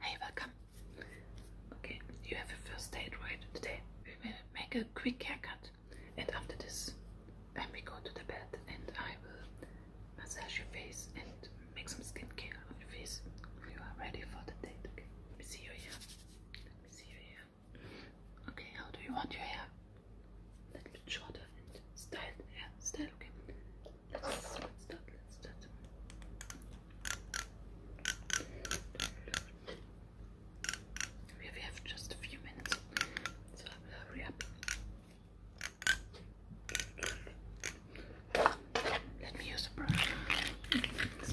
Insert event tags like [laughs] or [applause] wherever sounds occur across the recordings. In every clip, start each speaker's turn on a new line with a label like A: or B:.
A: Hey, welcome. Okay, you have a first date, right? Today we will make a quick haircut, and after this, then we go to the bed, and I will massage your face and make some skincare on your face. You are ready for the date. Okay, let me see your hair. Let me see your hair. Okay, how do you want your hair? A little bit shorter and styled Styled, Okay, Let's, let Let's stop. We have, just a few minutes, so hurry up. Let me use a brush. This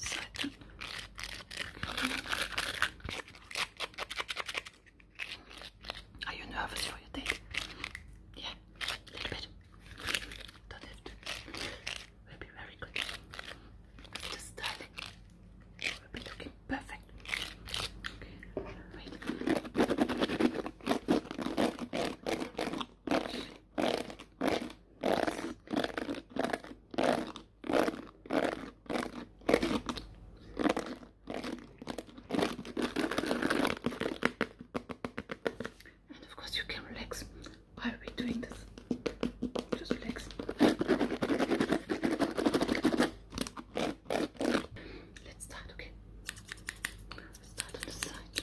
A: side. Are you nervous for your date? Yeah, a little bit. do Will be very good. The styling will be looking perfect. And of course you can relax. Why are we doing this? Just relax. Let's start, okay? start on the side.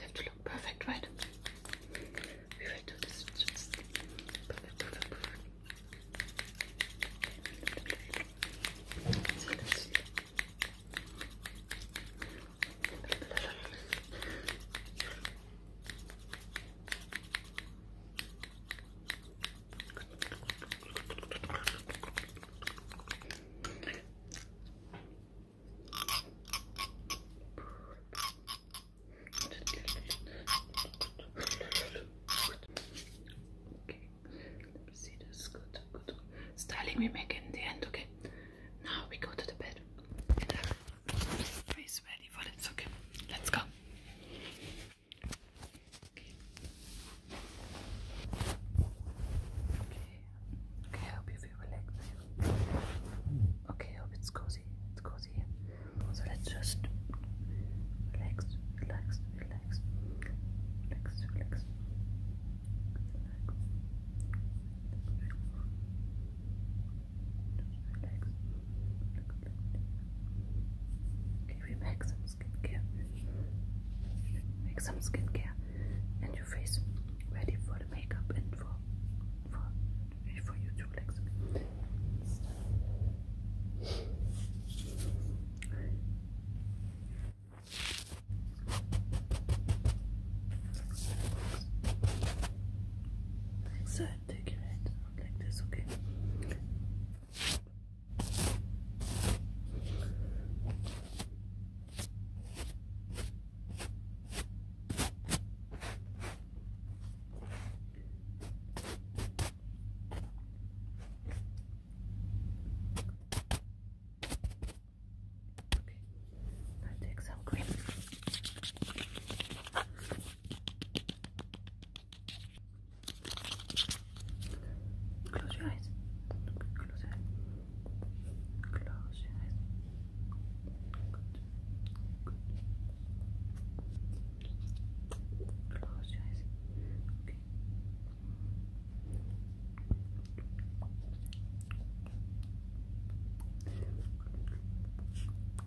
A: have to look perfect, right? We will do this. Just perfect, let me see this. Good, good. Styling we make in the end, okay? Now we go to the bed. Uh, face ready for it, okay? Let's go. Okay. Okay, I hope you feel relaxed. Okay, I hope it's cozy. It's cozy. So let's just relax, relax, relax, relax, relax. Relax. Relax. Okay, we make some skincare. Make some skincare, and your face ready for the makeup and for for for you to relax. Like like this, okay? Okay, now take some cream. Close your eyes. Close your eyes. Close your eyes. Close your eyes. Okay.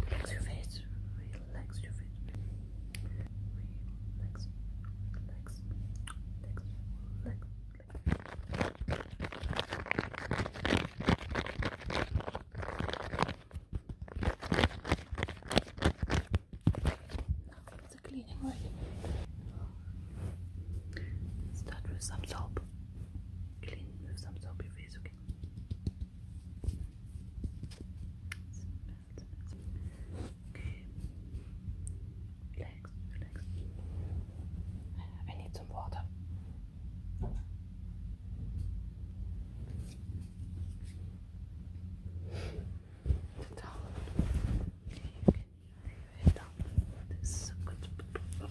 A: Relax your face. Relax your face. Relax. Relax. Relax. Relax. Now it's a cleaning Start with some soap. Clean with some soapy face, okay? Okay. Relax, relax. I need some water. Sit you can lay your head down. This is so good. Okay.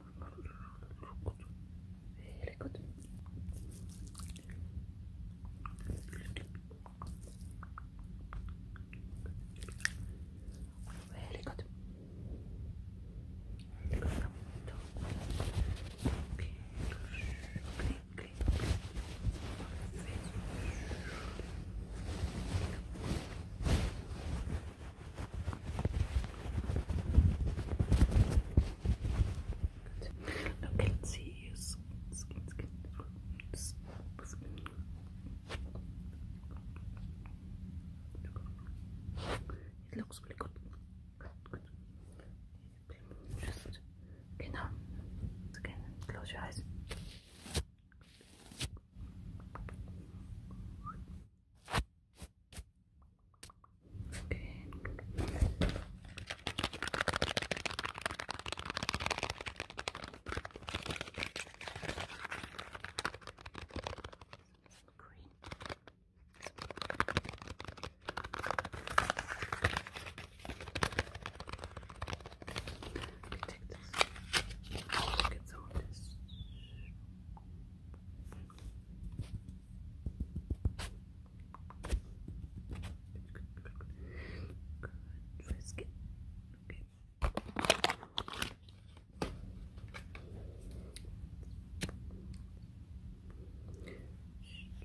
A: Very good. Very good. Very good. Okay. Clean, clean. Very good. Look, let see your skin, It looks really good. Just, okay, close your eyes. Okay. Green. Take this. Get some Good Good, good, good, good,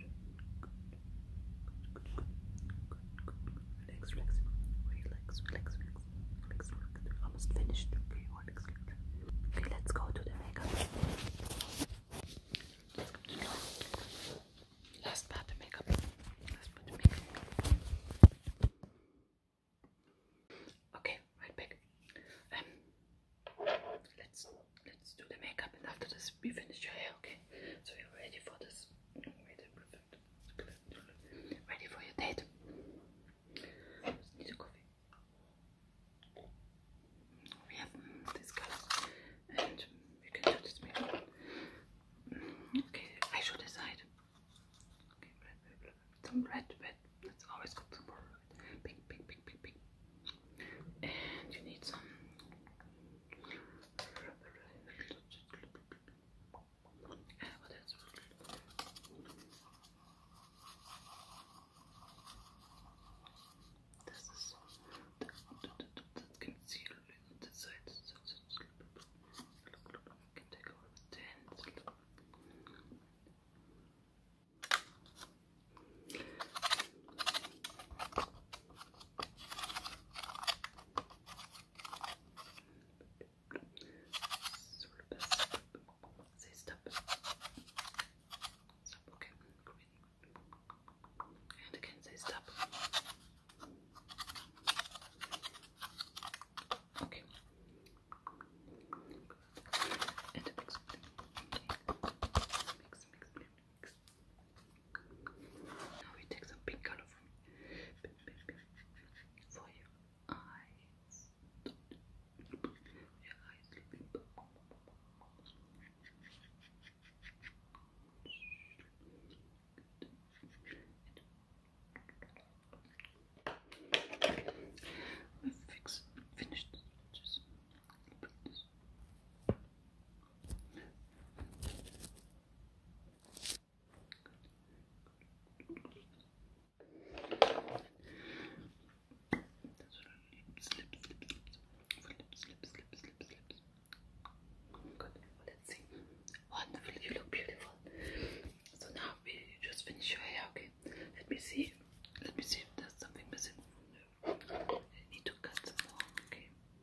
A: good, good, good, good, good, relax, relax, relax, relax, relax, relax. Almost finished. Okay, let's go to the makeup. Let's go to the last part of makeup. Last part of makeup. Okay, right back. Um, let's let's do the makeup, and after this, we finish your hair. Okay, so you're ready for this. Ready for your date? need a coffee. We have mm, these colors, and we can do this makeup. Okay, I should decide. some red, red. That's always good. Some red. Pink, pink, pink, pink, pink. And you need some. Yeah, well, that's Das ist das Concealer on the side. I can take over the hands. Good sort of best. Say step. Step, okay, And again, say step. Okay. And mix, mix, mix, mix. Now we take some pink color from for your eyes. Your eyes fix finished just put this. Let's see. Wonderful. You look beautiful. So now we just finish your hair. Okay. Let me see. Let me see if something missing. need to cut some more. Okay.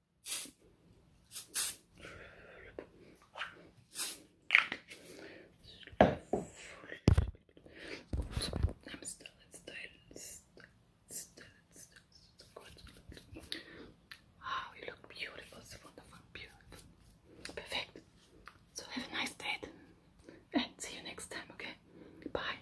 A: I'm still in Still, still, Wow, you look beautiful, so wonderful, beautiful. Perfect. So have a nice day and [laughs] see you next time, okay? Bye.